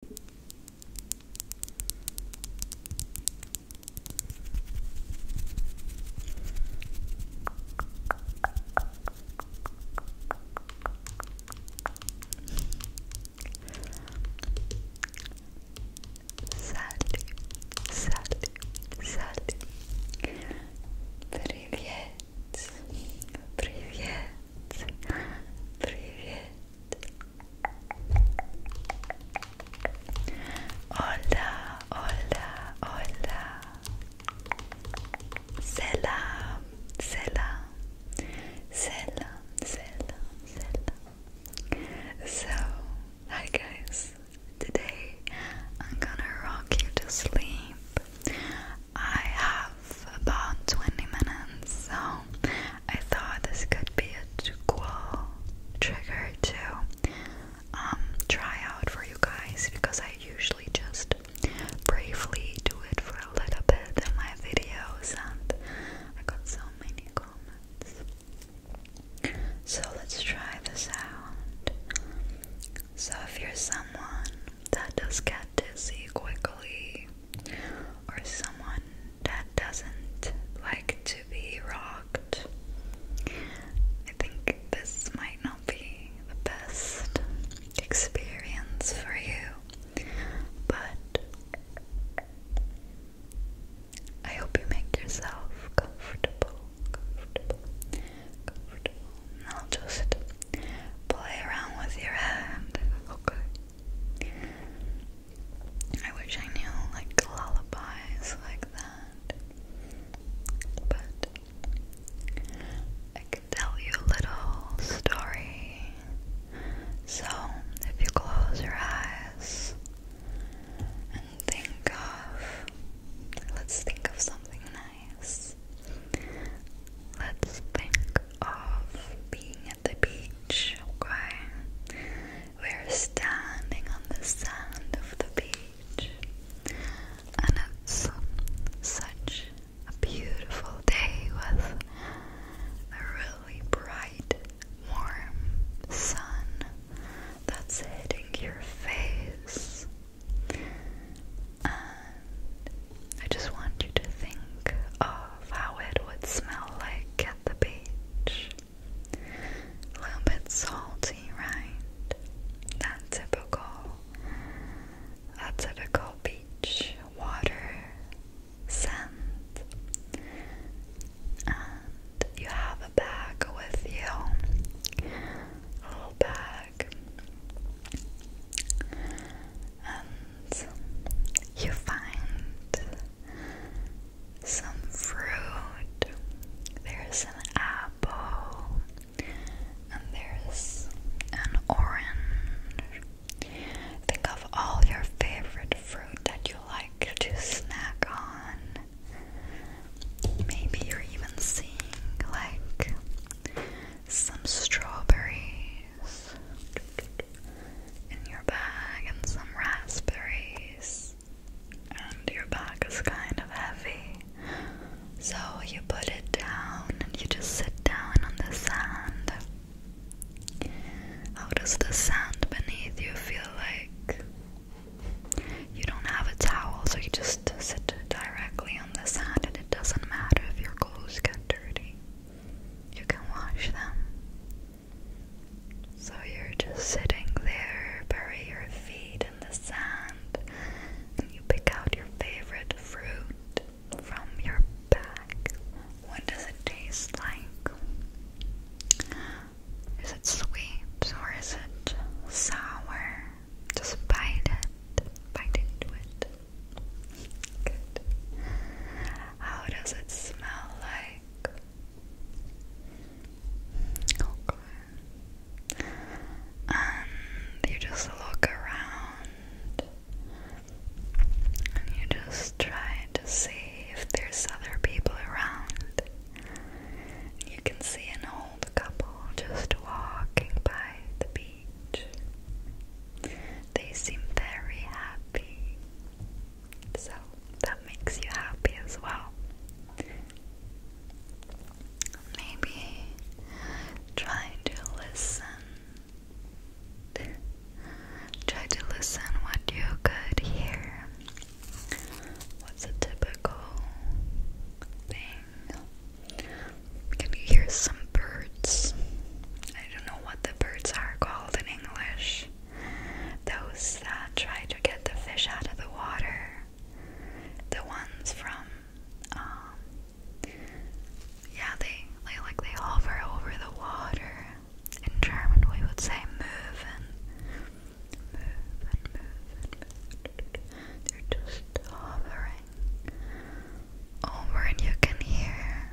Салли, Салли, Салли. Привет, привет, привет. Hola, hola, hola. Selam, selam, selam, selam, selam. So, hi guys. Today I'm gonna rock you to sleep. I have about 20 minutes, so I thought this could be a cool trigger to um, try out for you guys because I usually just briefly do it for a little bit in my videos, and I got so many comments. So let's try this out. So, if you're someone that does get dizzy quickly, or someone that doesn't like to be rocked. I think this might not be the best experience for you, but I hope you make yourself comfortable, comfortable, comfortable. I'll just play around with your hand, okay? I wish I knew like lullabies like that, but I can tell you a little story. So, if you close your eyes and think of, let's think of something nice. Let's think of being the beach, okay? We're standing on the sand of the beach, and it's such a beautiful day with a really bright, warm sun that's hitting your face. I just want you to think of how it would smell like at the beach. A little bit salty, right? Not typical. A typical beach water scent. And you have a bag with you. A little bag. And you find some fruit. There's an apple, and there's an orange. Think of all your favorite fruit that you like to snack on. Maybe you're even seeing like some strawberries in your bag and some raspberries. And your bag is kind of heavy. So you put it down and you just sit down on the sand. How does the sand beneath you feel like? You don't have a towel, so you just sit directly on the sand, and it doesn't matter if your clothes get dirty you can wash them. So you're just sitting there, bury your feet in the sand, and you pick out your favorite fruit from your bag. What does it taste like? Is it sweet or is it sour? Just bite it, bite into it. How does it smell like? And um, you just look around and you just try to see if there's other people around. You can see an old couple just walking by the beach. They seem very happy. So that makes you happy as well. Maybe try to listen. Try to listen what you could hear. What's a typical thing can you hear some birds? I don't know what the birds are called in English. Those that try to get the fish out of the water. The ones from, um, yeah, they, they like they hover over the water. In German, we would say "möven," möven, möven, möven. They're just hovering over and you can hear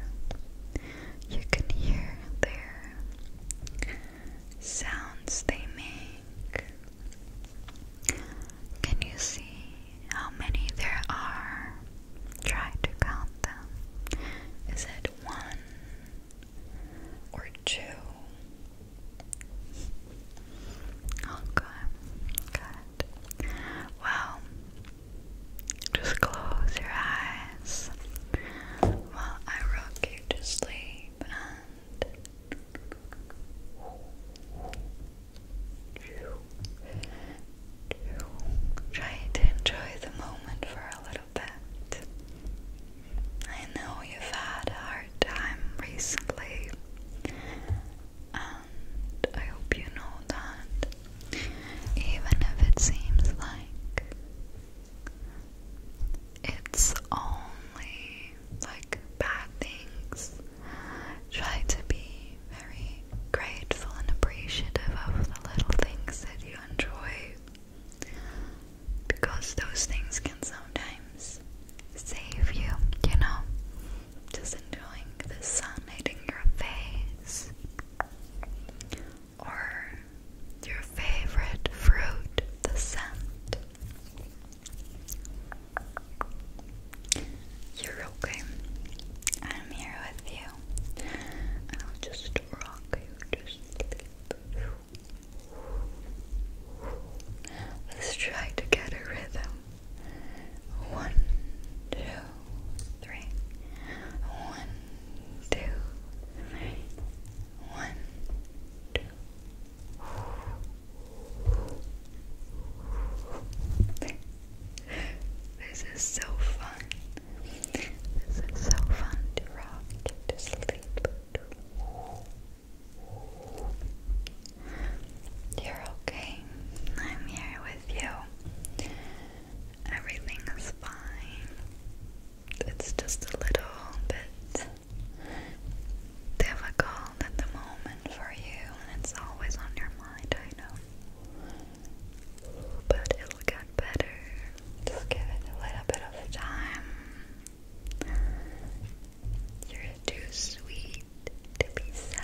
you can hear their sounds they make. Can you see how many there are? Try to count them. Is it one or two? Okay, oh, good. Well, just close your eyes while I rock you to sleep and try to enjoy the moment for a little bit. I know you've had a hard time recently and I hope you know that even if it seems like it's only like bad things, try to be very grateful and appreciative of the little things that you enjoy. Because those things can sometimes save you, you know? Just enjoying the sun hitting your face. Or your favorite fruit, the scent. You're okay. I'm here with you. I'll just rock you to Let's try to get a rhythm. One, This is so fun. This is so fun to rock, to sleep. You're okay. I'm here you. Everything is fine. It's just a little bit difficult at the moment for you, and it's always on your mind, I know. But it'll get better. Just give it a little bit of time. You're too sweet to be sad.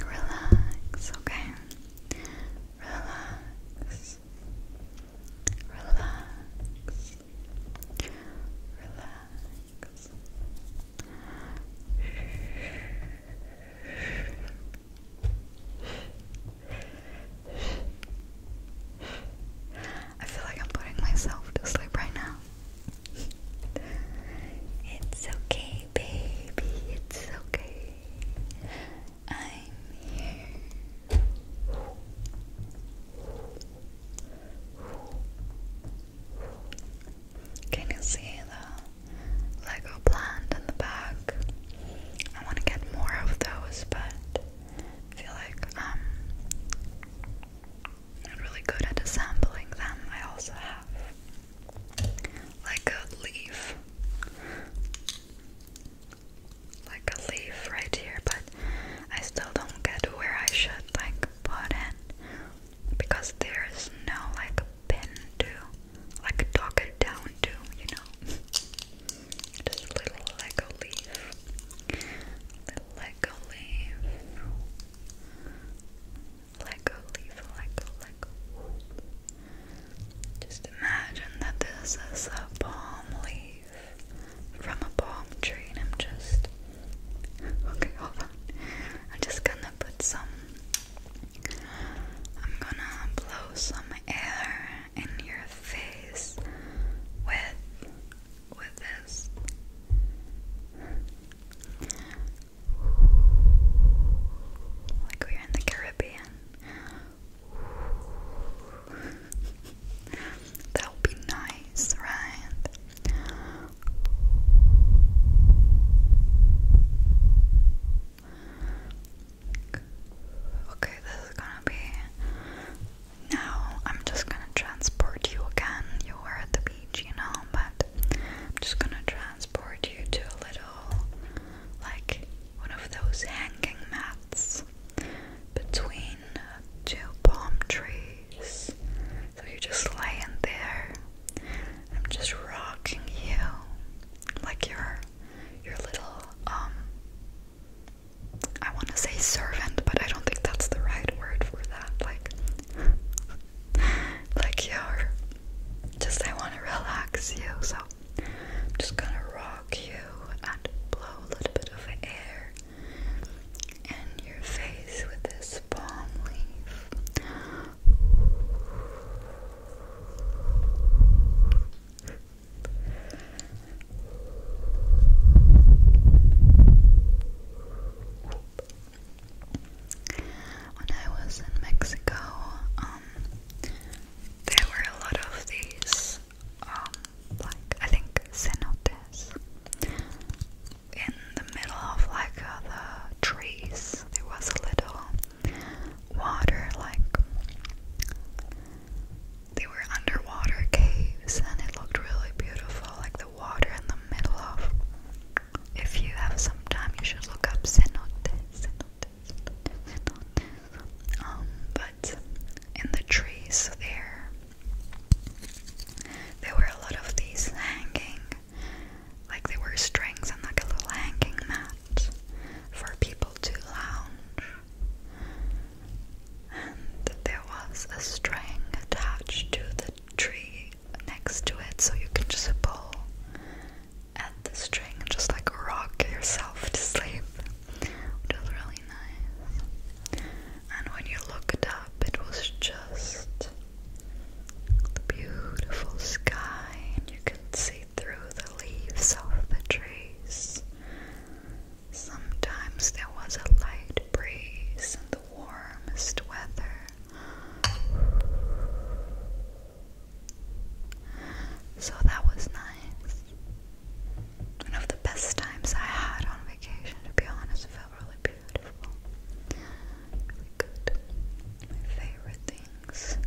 Relax, okay? Relax. Relax. Relax. I feel like I'm putting myself to sleep right now. it's okay, baby. It's okay. I'm here. Can you see the Lego plant in the back? I want to get more of those, but feel like I'm really good at assembling them. I also have like a leaf, like a leaf right here, but I still don't get where I should like put it because there is no like pin to like talk it down to, you know. Just little like leaf, a leaf. Lego leaf, Lego, Lego. Just imagine that this is a palm leaf from a palm tree, and I'm just okay. Hold on, I'm just gonna put some. I'm gonna blow some air in your face with with this like we're in the Caribbean. that would be nice, right? Okay, this is gonna be. Now I'm just gonna transport you again. You were at the beach, you know, but I'm just gonna try transport you to a little, like one of those hanging mats between uh, two palm trees. So you're just laying there. I'm just rocking you, like your your little um, I want to say servant, but I don't think that's the right word for that. Like, like your just I want to relax you, so I'm just gonna rock you and blow a little bit of air in your face with this palm leaf. When I was in Mexico, um, um, there were a lot of these, um, like I think cenotes in the middle of like uh, the trees. There was a little water, like they were underwater caves, and it looked really beautiful, like the water in the middle of if you have some time, you should look up cenote, um, but in the trees there, there were a lot of these hanging, like there were strings and like a little hanging mat for people to lounge. And there was a string attached to the tree next to it, so you can just pull at the string and just like rock yourself to sleep, which was really nice. And when you looked up, it was just the beautiful sky, and you could see through the leaves of the trees. Sometimes there was a light breeze in the warmest weather. So that was nice. One of the best times I had on vacation, to be honest, felt really beautiful. Really good. My favorite things.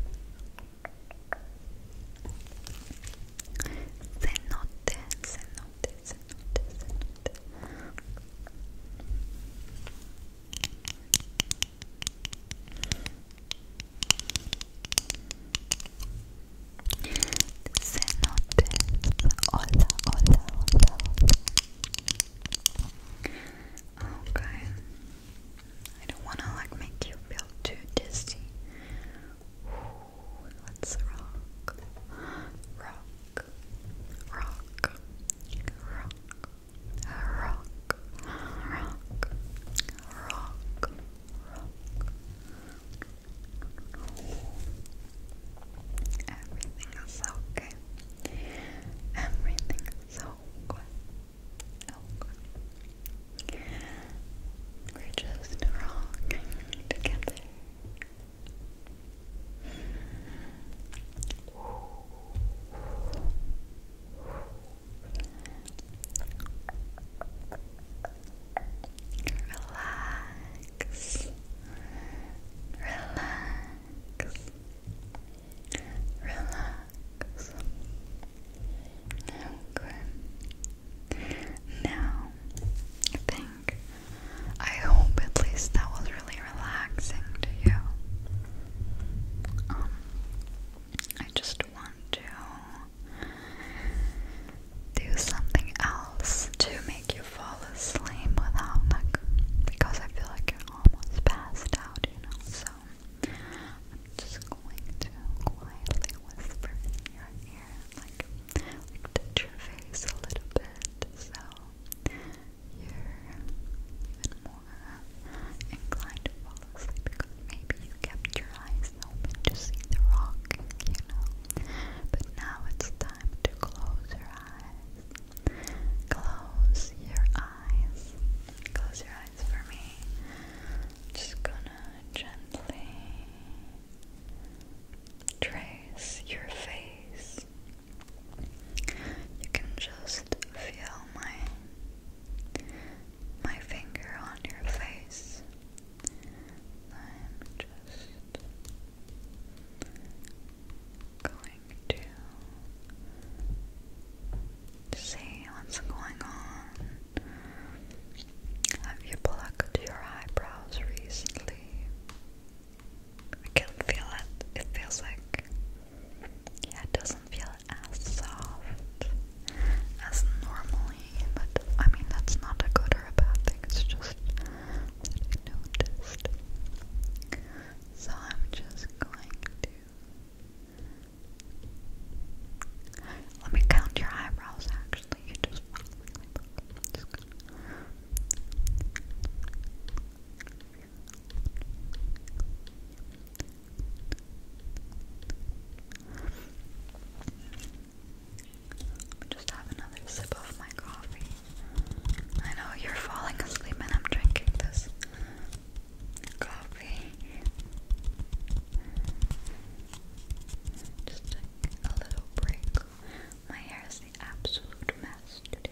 Cenote, cenote, cenote, cenote. Cenotes. Hola, Okay. I don't want to like make you feel too dizzy. let's rock. Rock. Rock. Rock rock, rock, rock, rock. Everything is okay. Everything is okay. Okay. We're just rocking together. Relax. Relax. Relax. Now, I think, I hope at least that was really relaxing to you. Um, I just want to do something else to make you fall asleep without because I feel like you're almost passed out, you know. So I'm just going to quietly whisper in your ear, like touch your face a little bit, so you're more inclined to fall asleep because maybe you kept your eyes open to see the rock, you know. But now it's time to close your eyes. Close your eyes. Close your eyes for me. Just gonna gently trace your face. You can just feel my my finger on your face. I'm just going to see what's going on. Have you plucked your eyebrows recently? I can feel it. It feels like yeah, it doesn't feel as soft as normally, but I mean, that's not a good or a bad thing, it's just that I noticed. So I'm just going to. Let me count your eyebrows actually. You just. Just gonna... Just have another sip of my coffee. I know you're falling asleep, and I'm drinking this coffee. Just a little break. My hair is the absolute mess today.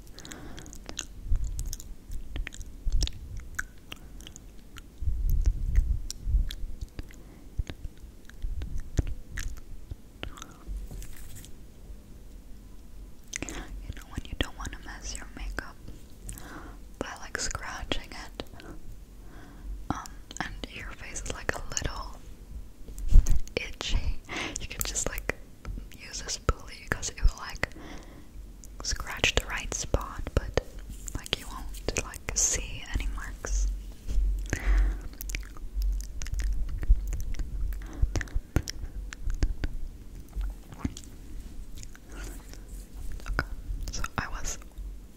You know when you don't want to mess your makeup by like scratching it, um, and your face is like a little itchy. You can just like use this pulley because it will like scratch the right spot, but like you won't like see any marks. Okay, so I was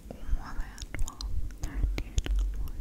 one and one, thirteen, one,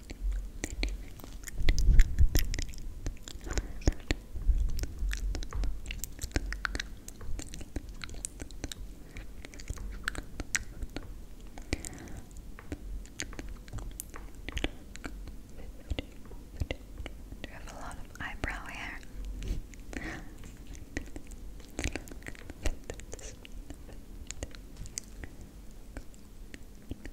Do you have a lot of eyebrow hair? Good.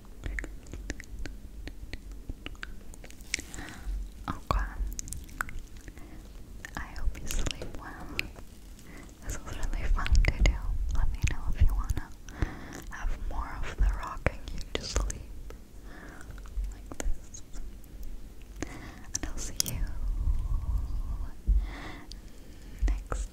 Okay. I hope you sleep well. This was really fun to do. Let me know if you wanna have more of the rocking you to sleep. Like this. And I'll see you next